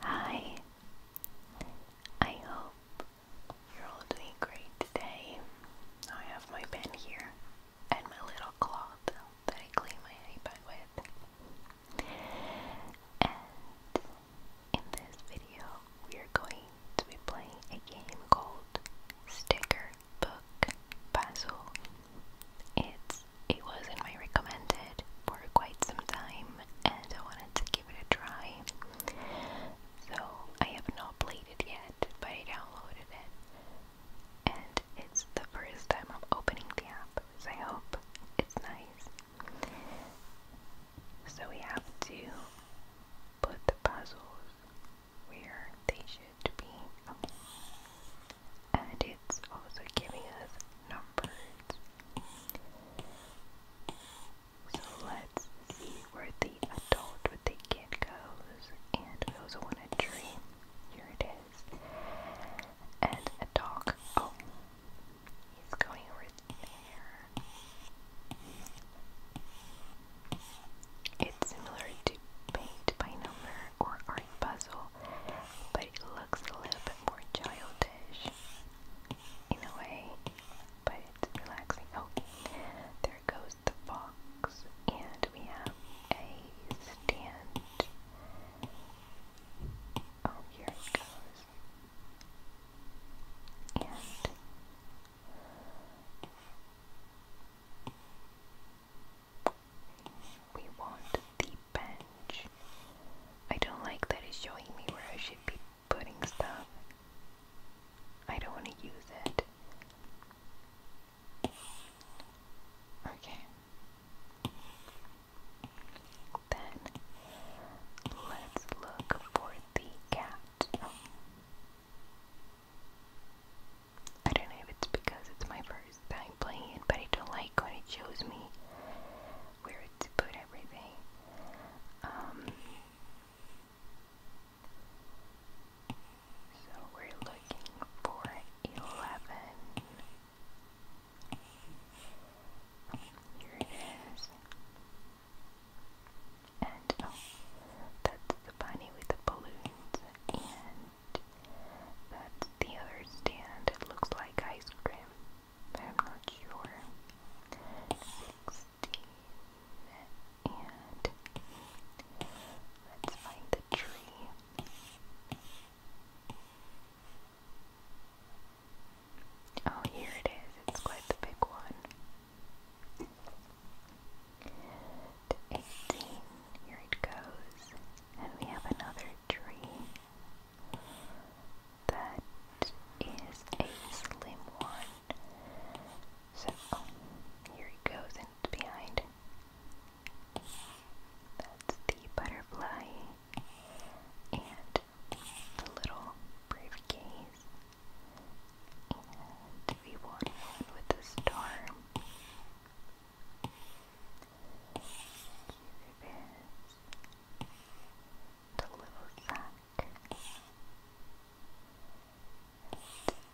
Hi, I hope you're all doing great today. I have my pen here and my little cloth that I clean my iPad with. in this video, we are going to be playing a game called Sticker Book Puzzle. It's it was in my recommended for quite some time and I wanted to give it a try. So I have not played it yet, but I downloaded it and it's the first time I'm opening the app, so I hope it's nice. So we have to put the puzzles where they should be and it's also giving us numbers. So let's see where the adult with the kid goes, and we also want a tree. Here it is, and a dog. Oh, he's going over there. It's similar to paint by number or art puzzle, but it looks a little bit more childish in a way, but it's relaxing. Oh, there goes the fox, and we have a stand. Oh, here it goes. And we want the bench. I don't like that it's showing me where I should be putting stuff. I don't want to use it. Okay. Then let's look for the cat. I don't know if it's because it's my first time playing but I don't like when it shows me where to put everything. Um, so we're looking for 11. Here it is. And oh, that's the bunny with the balloons. And that's the other stand. It looks like ice cream. I'm not sure. 16 and let's find the tree. Oh, here it is. It's quite the big one. 18, here it goes. And we have another tree. That is a slim one. So here it goes and behind. That's the butterfly and the little briefcase. And we want one with a star. Here it is. The little sack. And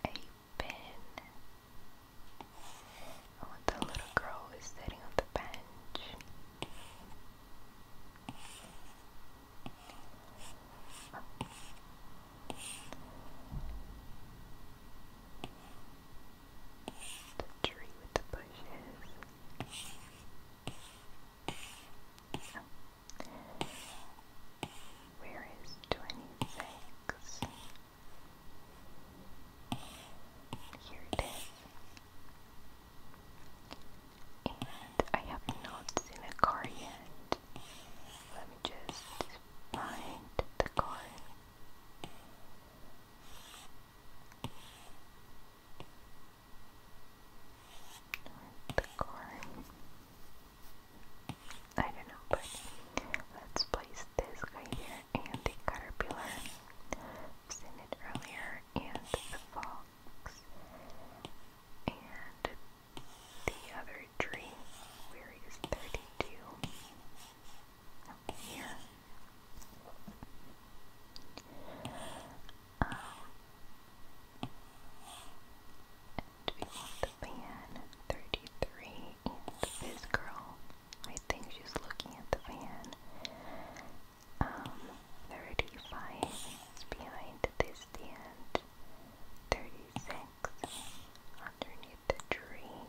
a pen. the little girl is sitting on the bench. The tree with the bushes. Where is twenty six? Here it is. And I have not seen a car yet. Let me just find the car. The corn. I don't know, but let's place this guy here and the caterpillar. seen it earlier, and the fox, and the other tree. Where is 32? Up here. Um, and we want the van 33 and this girl. I think she's looking at the van. Um, 35 is behind this stand. 36 underneath the tree.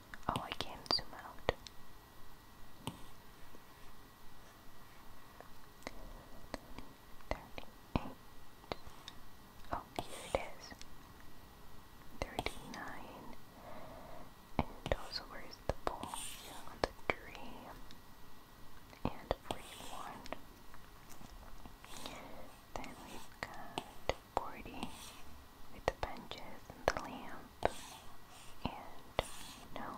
Oh, I can't zoom out. Thirty-eight. Oh, here it is. Thirty-nine. And also, where is the ball? On And forty-one. Then we've got boardy with the benches and the lamp and you know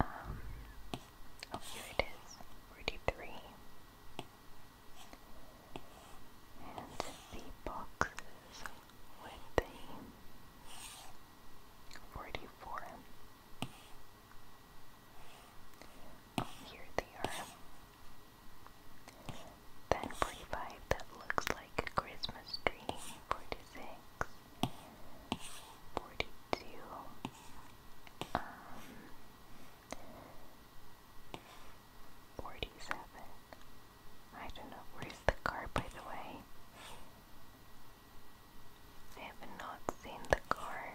um oh here it is 43 and the boxes with the 44 Oh, here they are. Then that looks like a Christmas tree. 46, 42, um, 47. I don't know, where's the car by the way? I have not seen the car.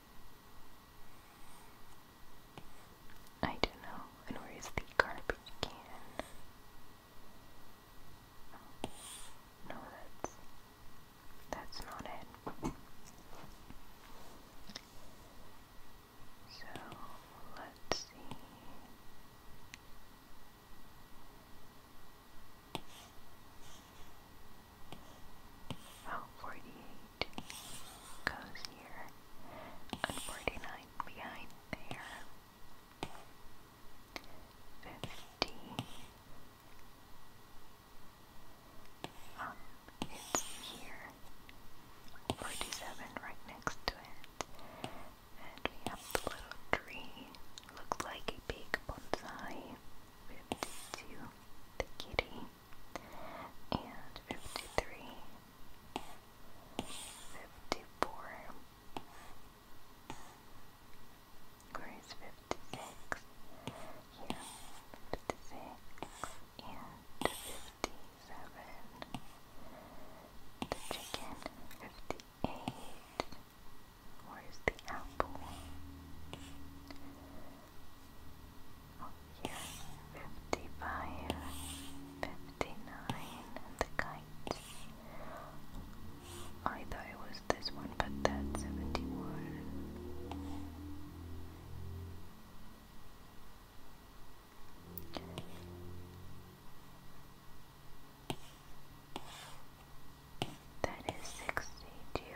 I don't know. And where is the garbage can? No, that's that's not it. So let's see. Oh, forty-eight goes here, 49 behind there. 50 um, it's here. 47 right next to it. And we have the little tree. Looks like a big bonsai. 52 the kitty and fifty-three, fifty-four, where is fifty-six? Here, fifty-six and fifty-seven. The chicken, fifty-eight. Where's the apple? Here's 55, 59, and the kite. I thought it was this one, but that's 71. That is 62.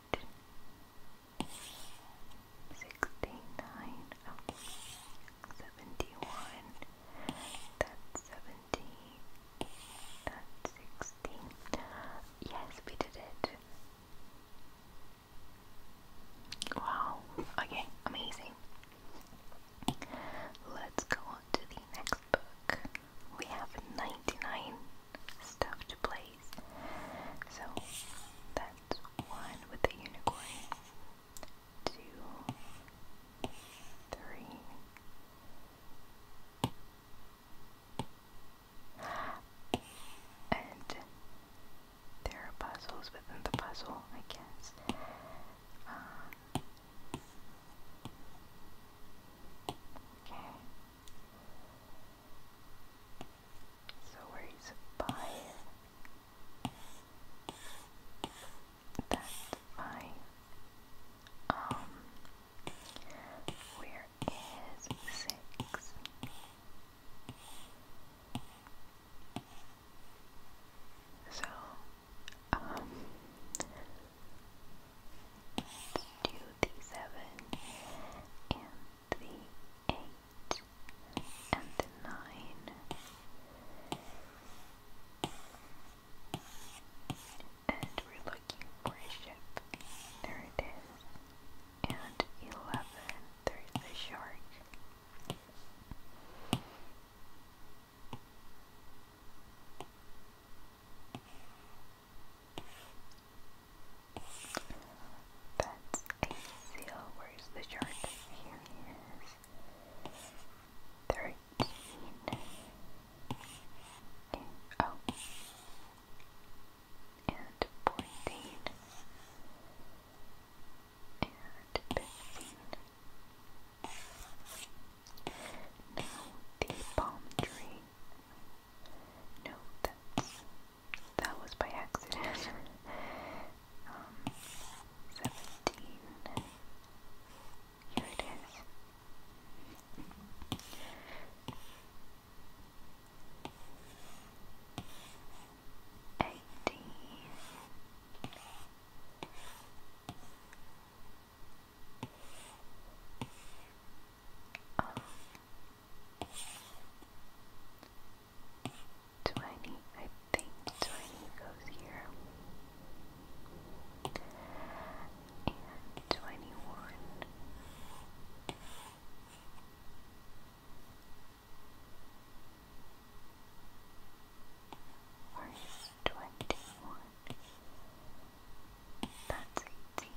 sixty-nine, that's seventy, that's sixty. Yes, we did it. Wow, okay, amazing. Let's go on to the next book. We have 99 stuff to play so that's one with the unicorn. Two, three. And there are puzzles within the puzzle, I guess. Um, okay. So where he's by that um where is six? So um do the seven and the 8 and the 9 and we're looking for a ship, there it is and 11, there's a shark that's a seal. Where's the chart? Here he is. Thirteen. Oh, and fourteen. And fifteen. Now the palm tree. No, that's that was by accident. um, seventeen. Here it is. Eighteen. Oh, Twenty, I think twenty goes here. And twenty-one. Where is twenty-one? That's eighteen.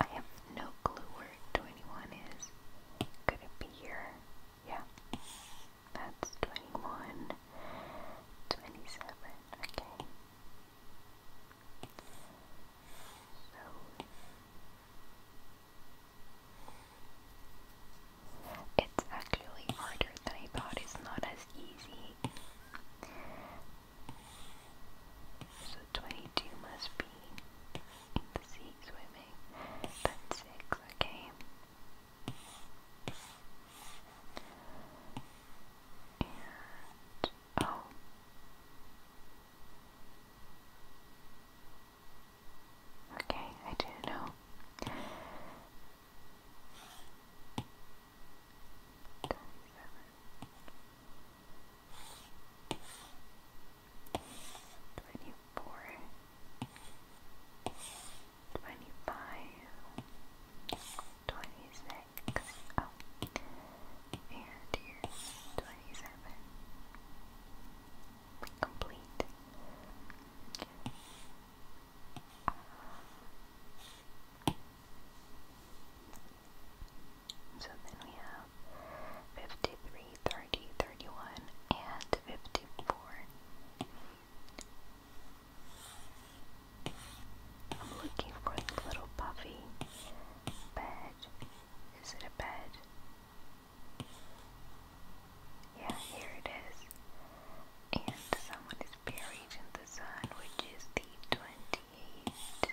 I have no clue where 21 is. Could it be here? Yeah. That's 21. 27. Okay. So it's actually harder than I thought, it's not as easy. So 22 must be in the sea swimming. That's 6, okay. Oh. Okay, I do not know. Twenty four, twenty five, twenty six. Oh, and here's 27. Complete. So then we have 53, 30, 31, and 54. I'm looking for the little puffy Bed. Is it a bed? Yeah, here it is. And someone is buried in the sun, which is the 28th.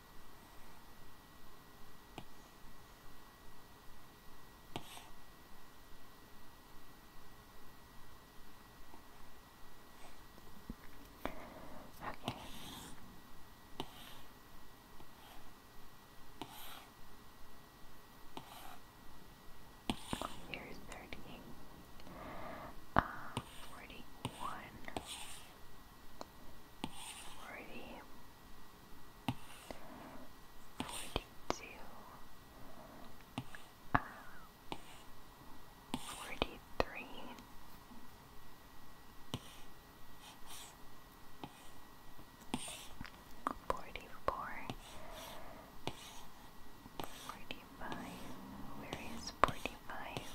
Okay. Uh, here's thirty, uh, forty-one, forty, forty-two, uh, forty-three, forty-four, forty-five. Where is forty-five?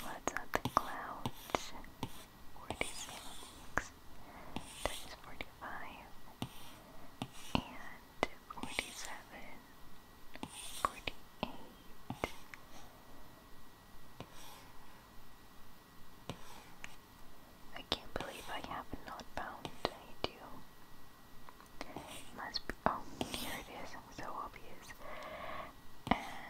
What's up the clouds? 46 times 45 and 47 I can't believe I have not found I must be oh here it is so obvious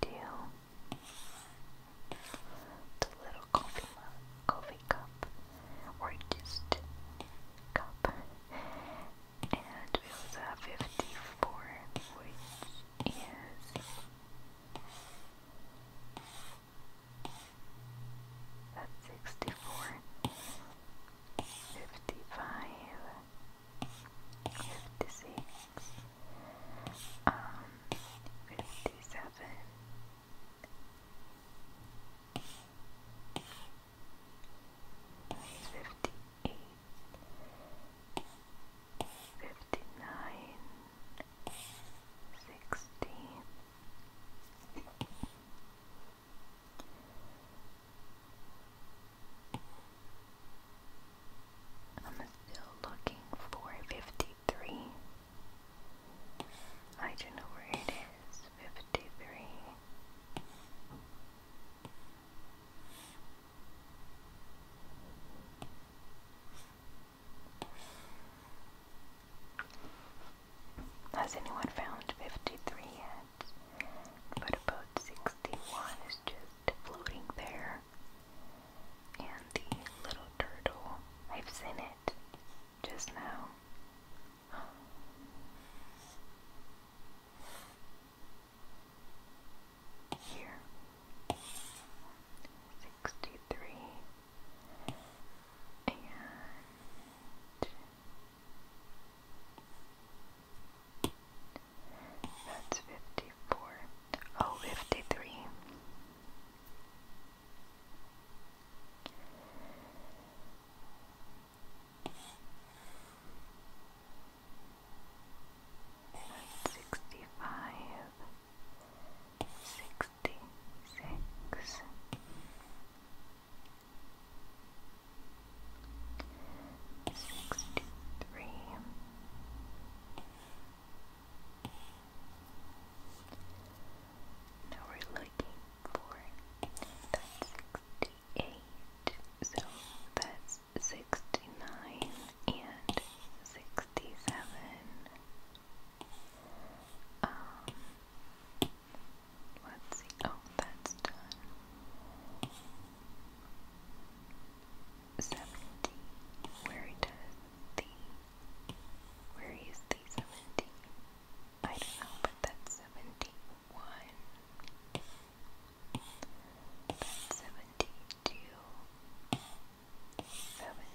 deal the little coffee coffee cup or just cup and we have 54 which is that's 64. 55. Um, 56. Um, 57. Fifty-eight, fifty-nine, sixteen, I'm still looking for 53. I don't know where it is. 53. Has anyone found 53 yet? But about 61 is just floating there. And the little turtle, I've seen it just now. Here. 63 that's 54, oh, 53. That's sixty-five, sixty-five, sixty-six sixty-three now we're looking for that's sixty-eight so that's sixty-nine and sixty-seven um, let's see. Oh, that's done. Seventy, where he does the, where he is the seventy. I don't know, but that's seventy-one. That's seventy-two. Seventy.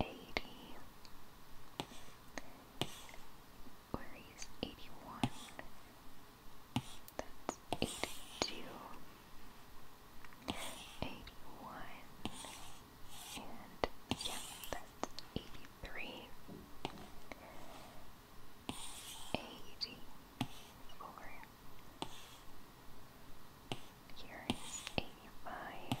eighty, where eighty-one, that's eighty-two, eighty-one, and yeah, that's eighty-three, eighty-four. Here is eighty-five.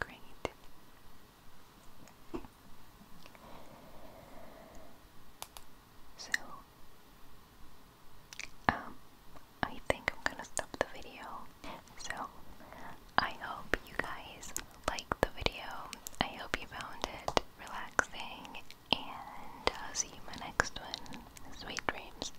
Great. So, um, I think I'm gonna stop the video. So, I hope you guys liked the video. I hope you found it relaxing, and I'll see you in my next one. Sweet dreams.